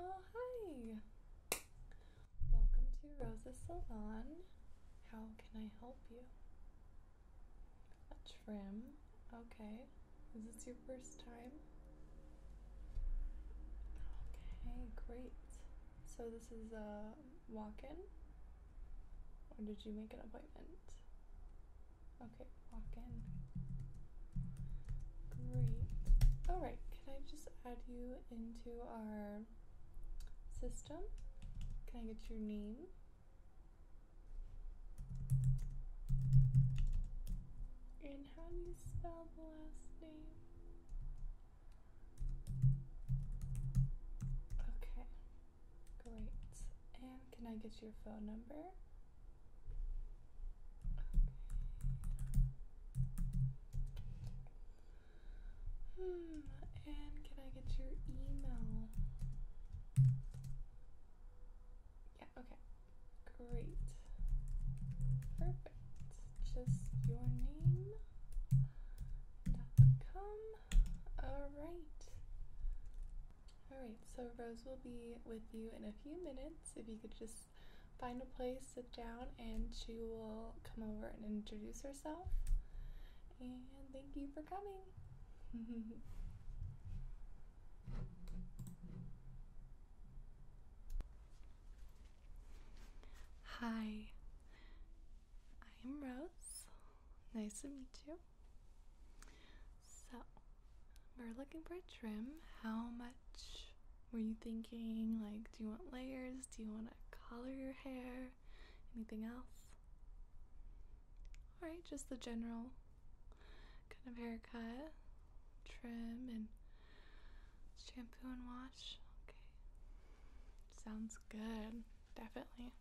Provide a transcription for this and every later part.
Oh, hi! Welcome to Rosa Salon. How can I help you? A trim? Okay. Is this your first time? Okay, great. So this is a walk-in? Or did you make an appointment? Okay, walk in. Great. All right. Can I just add you into our system? Can I get your name? And how do you spell the last name? Okay, great. And can I get your phone number? Hmm, and can I get your email? Yeah, okay. Great. Perfect. Just your name dot com. Alright. Alright, so Rose will be with you in a few minutes. If you could just find a place, sit down, and she will come over and introduce herself. And thank you for coming. Hi, I am Rose. Nice to meet you. So, we're looking for a trim. How much were you thinking, like, do you want layers? Do you want to color your hair? Anything else? Alright, just the general kind of haircut, trim, and shampoo and wash. Okay. Sounds good. Definitely.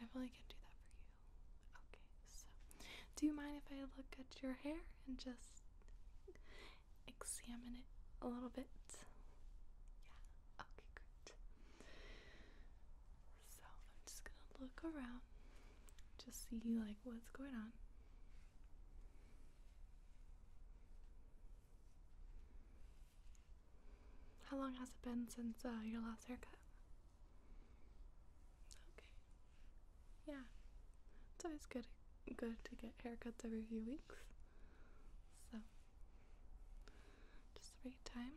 Definitely can do that for you. Okay, so do you mind if I look at your hair and just examine it a little bit. Yeah, okay, good. So I'm just gonna look around, just see like what's going on. How long has it been since uh, your last haircut? Okay, yeah, it's always good good to get haircuts every few weeks. So just the time.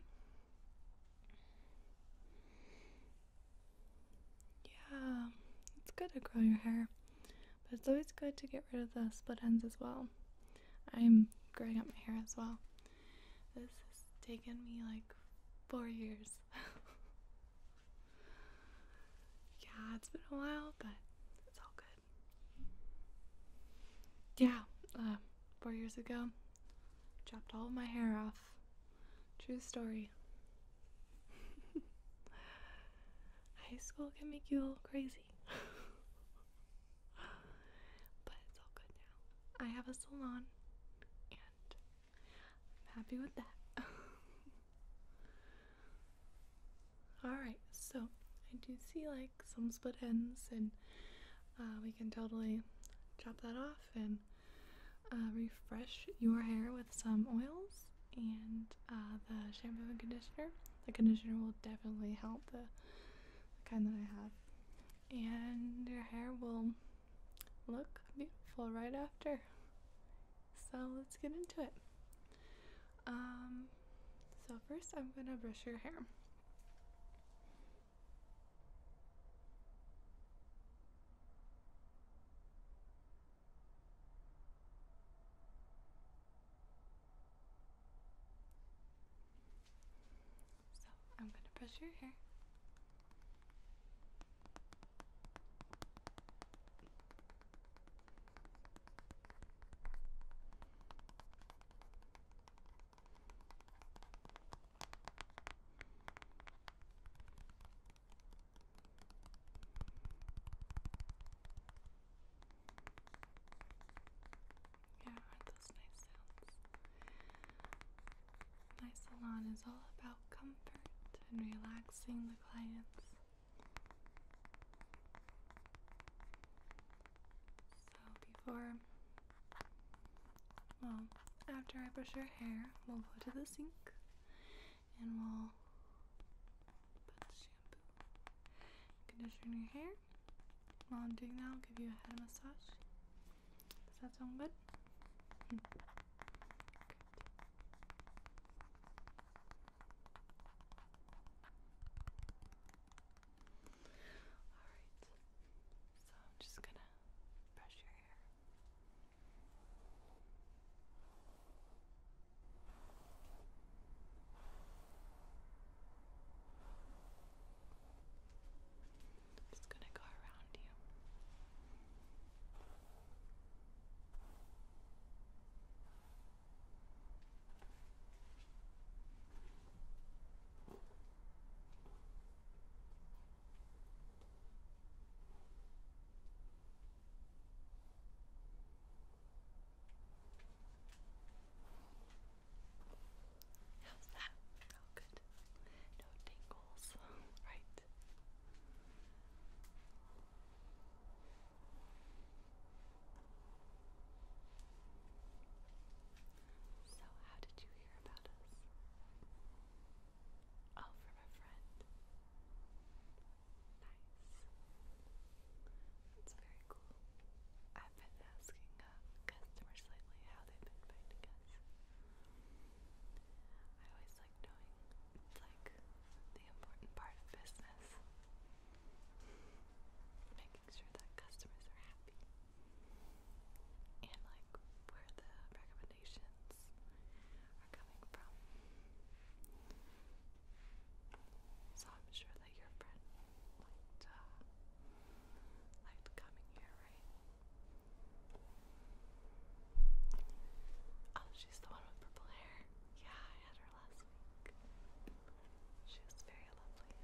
Yeah, it's good to grow your hair. But it's always good to get rid of the split ends as well. I'm growing out my hair as well. This has taken me like four years. Yeah, it's been a while, but it's all good. Yeah, uh, four years ago, chopped all my hair off. True story. High school can make you a little crazy. but it's all good now. I have a salon and I'm happy with that. Alright, so I do see like some split ends, and uh, we can totally chop that off and uh, refresh your hair with some oils and uh, the shampoo and conditioner. The conditioner will definitely help the kind that I have. And your hair will look beautiful right after. So let's get into it. Um, so first I'm gonna brush your hair. So I'm gonna brush your hair. Yeah, aren't those nice sounds? My salon is all about comfort and relaxing the clients so before, well, after I brush your hair, we'll go to the sink and we'll put shampoo, conditioner in your hair. While I'm doing that, I'll give you a head massage. Does that sound good? Hmm. Alright, so I'm just gonna brush your hair. just gonna go around you. How's that? Oh, good. No tingles, right? So, how did you hear about us? Oh, from a friend. Nice. That's very cool. I've been asking uh, customers lately how they've been finding us. I always like knowing it's like the important part of business. Making sure that customers are happy. And like where the recommendations are coming from. So I'm sure that your friend liked uh, liked coming here, right? Oh, she's the one with purple hair. Yeah, I had her last week. She was very lovely.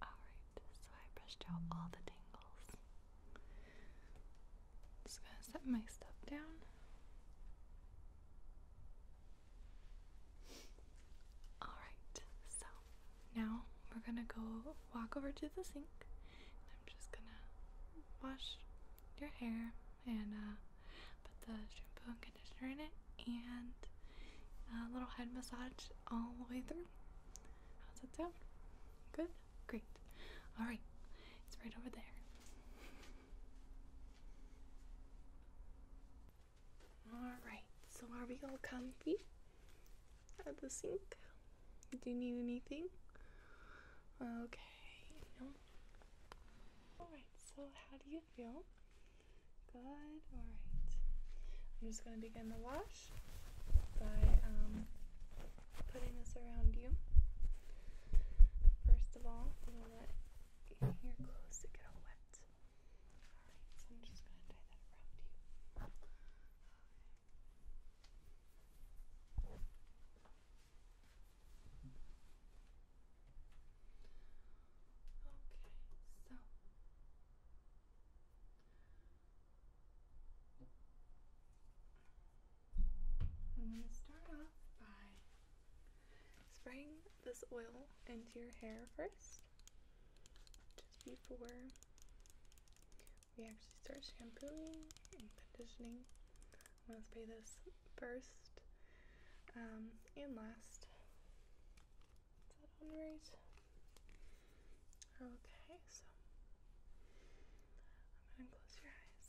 Alright, so I brushed out all the tangles. Just gonna set my stuff down. Alright, so now we're gonna go walk over to the sink. And I'm just gonna wash your hair and uh, put the shampoo and conditioner in it and a little head massage all the way through. How's it sound? Good? Great. All right. It's right over there. All right. So are we all comfy at the sink? Do you need anything? Okay. All right. So how do you feel? Good. All right. I'm just gonna begin the wash brush by um, putting this around you. First of all, I'm let your clothes get all wet. Okay, so I'm going to start off by spraying this oil into your hair first, just before we actually start shampooing and conditioning. I'm going to spray this first um, and last. Is that on right? Okay, so I'm going to close your eyes.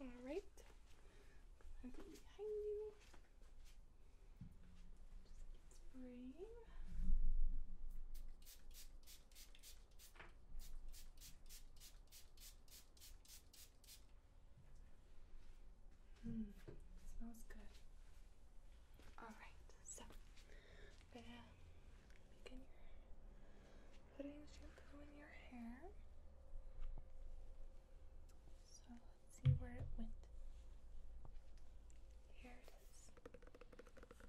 All behind you. Just Hmm. smells good. Alright, so i putting shampoo in your hair. So let's see where it went. Here it is. We got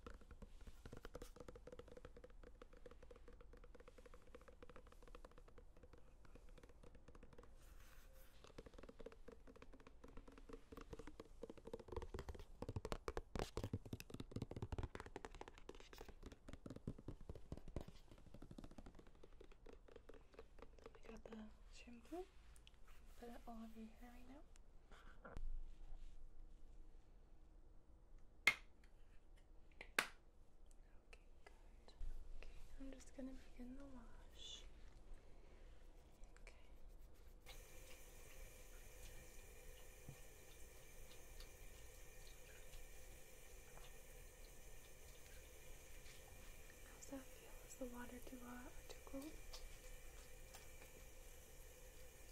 the shampoo. Put it all over your hair right now. Okay, I'm just gonna begin the wash. Okay. How's that feel? Is the water too hot too cold?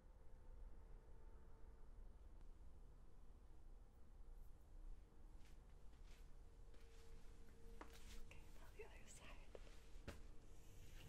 Okay, now the other side. Okay,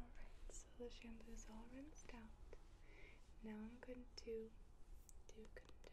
Alright, so the shampoo is all rinsed out. Now I'm going to do conditioner.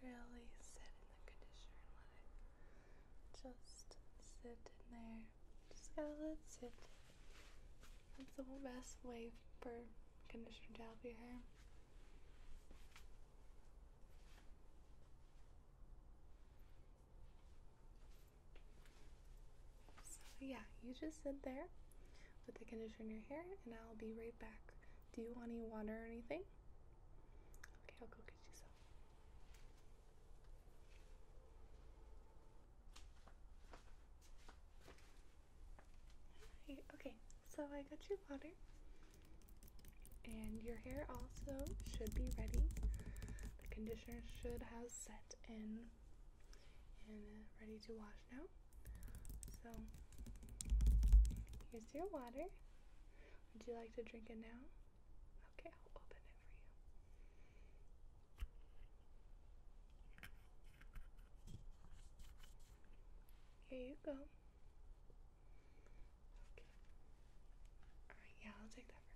Barely sit in the conditioner and let it just sit in there. Just let it sit. That's the best way for conditioner to help your hair. So, yeah, you just sit there with the conditioner in your hair, and I'll be right back. Do you want any water or anything? Okay, I'll go get you some. Right, okay, so I got your water, and your hair also should be ready. The conditioner should have set in and uh, ready to wash now. So here's your water. Would you like to drink it now? Okay, I'll open it for you. Here you go. Okay. Alright, yeah, I'll take that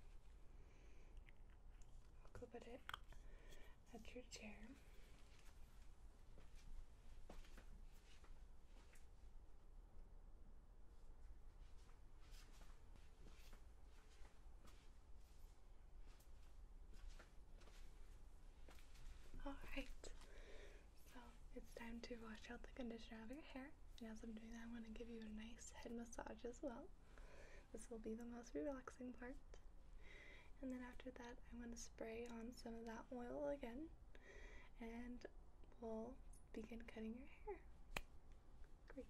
I'll clip it at your chair. Alright, so it's time to wash out the conditioner of your hair as I'm doing that, I'm going to give you a nice head massage as well. This will be the most relaxing part. And then after that, I'm going to spray on some of that oil again. And we'll begin cutting your hair. Great.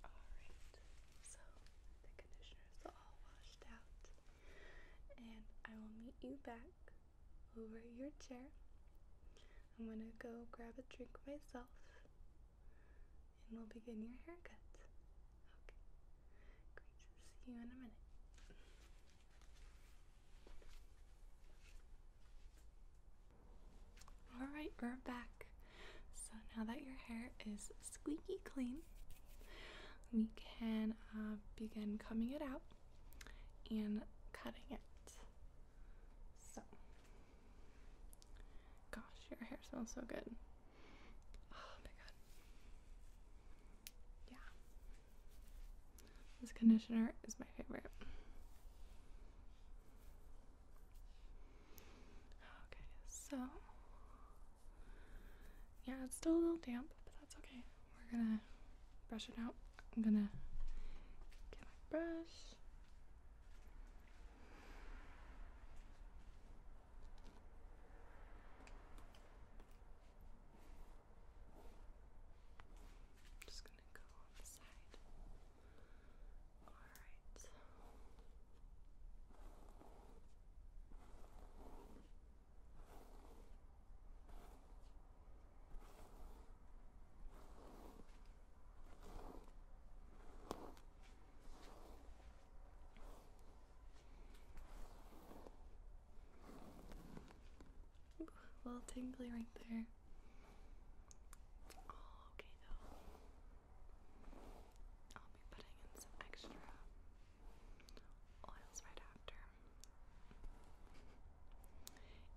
Alright, so the conditioner is all washed out, and I will meet you back over your chair. I'm gonna go grab a drink myself, and we'll begin your haircut. Okay, great. See you in a minute. Alright, we're back. So now that your hair is squeaky clean, we can uh, begin combing it out and cutting it. So, gosh, your hair smells so good. Oh my god. Yeah. This conditioner is my favorite. Okay, so yeah, it's still a little damp, but that's okay. We're gonna brush it out. I'm gonna get my brush. Just gonna go on the side. Alright. Ooh, a little tingly right there. All okay though. I'll be putting in some extra oils right after.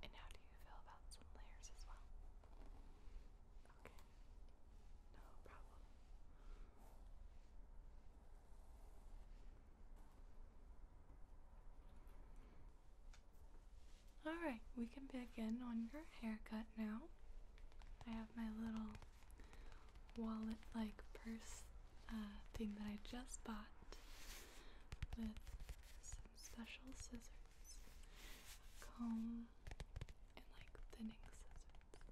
And how do you feel about some layers as well? Okay, no problem. Alright, we can begin on your haircut now. I have my little wallet like purse uh, thing that I just bought with some special scissors, comb, and like thinning scissors.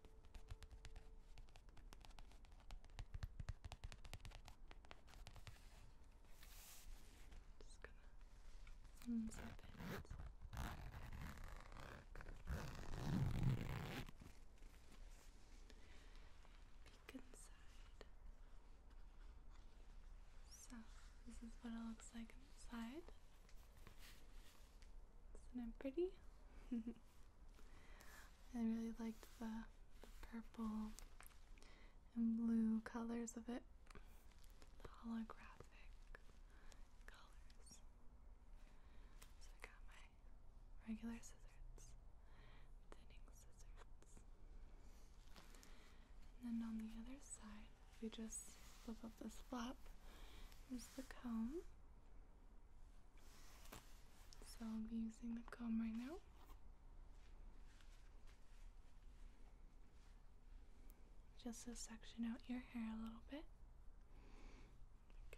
Just gonna unzip it. Peek inside. So this is what it looks like inside. Isn't it pretty? I really liked the, purple and blue colors of it. The holographic colors. So I got my regular scissors, thinning scissors. And then on the other side, we just flip up this flap is the comb. So I'll be using the comb right now. Just to section out your hair a little bit. Okay.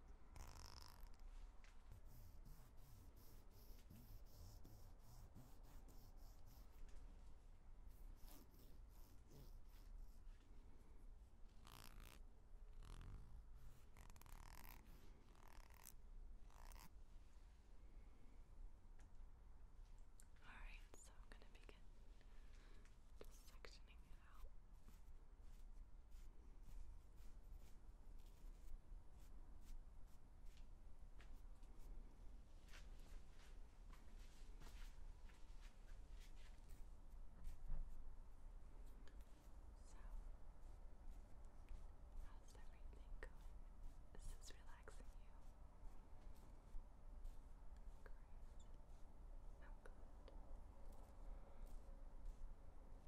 Alright, so I'm going to begin just sectioning it out. So, how's everything going? Is relaxing you? Great.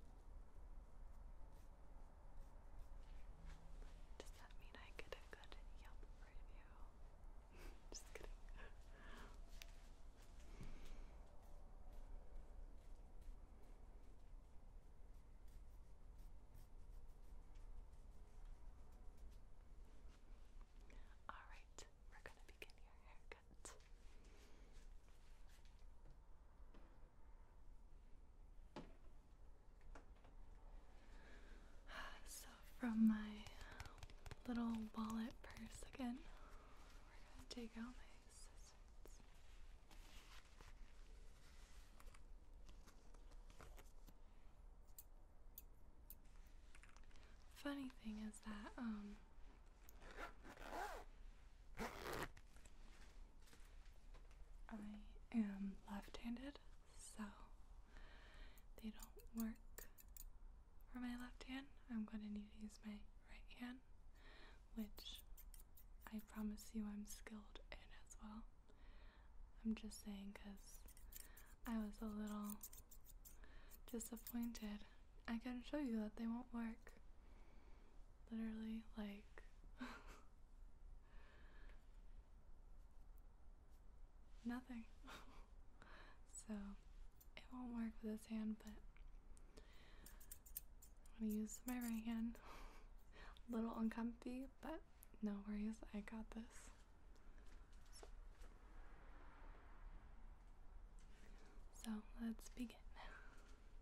i does that mean I get a good Yelp review? Just kidding. All right, we're going to begin your haircut. So, from my little wallet purse again, Funny thing is that, um, I am left handed, so they don't work for my left hand. I'm going to need to use my right hand, which I promise you I'm skilled in as well. I'm just saying because I was a little disappointed I can show you that they won't work. Literally, like. nothing. so, it won't work with this hand, but I'm gonna use my right hand. A little uncomfy, but no worries, I got this. So, let's begin. now.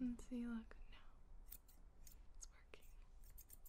And see, look, now it's working.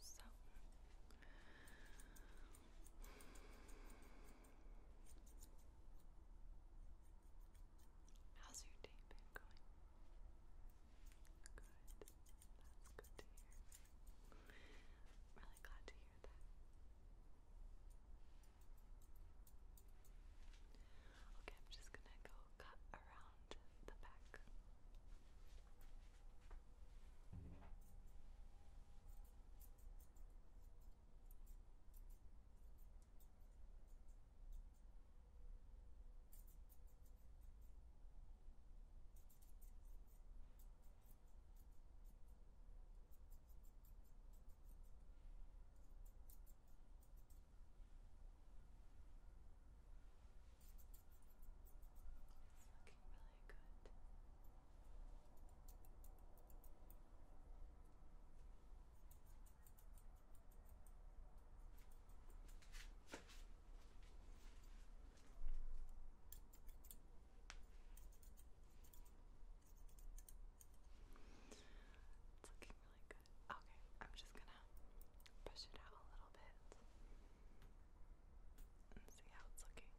So how's your day going? Good. That's good to hear. really glad to hear that. Okay, I'm just gonna go cut around the back. It's looking really good. Good. It's looking really good. Okay, I'm just gonna push it out a little bit and see how it's looking.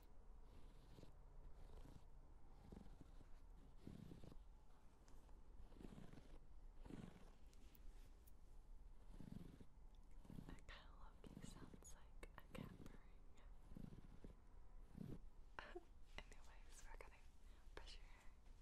I kind of love sounds like a cat Anyways, we're gonna brush your hair.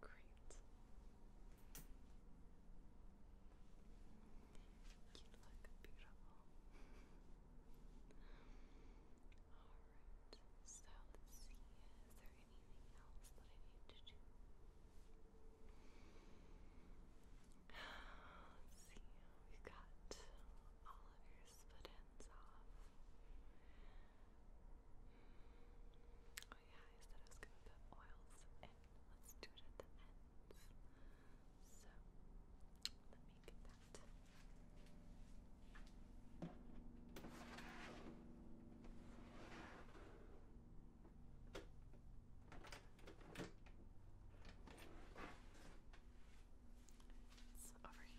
Great. You look beautiful. Alright, so Is there anything else that I need to do? Let's see. We got all of your split off. Oh yeah, I said I was gonna put oils in. Let's do it at the ends. So let me get that. It's over here.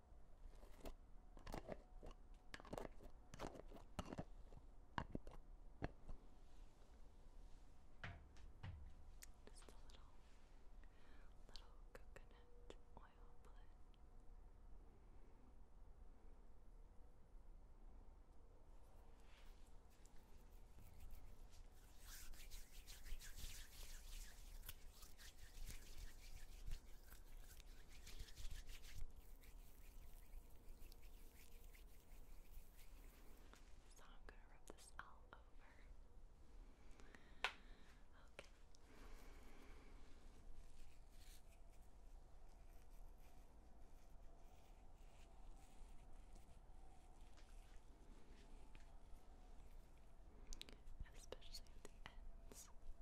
Just a little, little coconut oil blend. So I'm going to rub this all over. Okay. Especially the ends.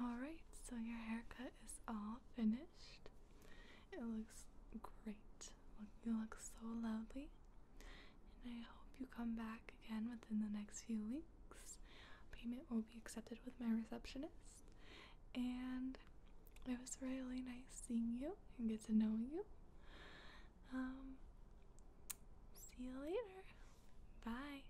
Alright, so your haircut is all finished. It looks great. You look so lovely. And I hope you come back again within the next few weeks. Payment will be accepted with my receptionist. And it was really nice seeing you and getting to know you. Um, see you later. Bye.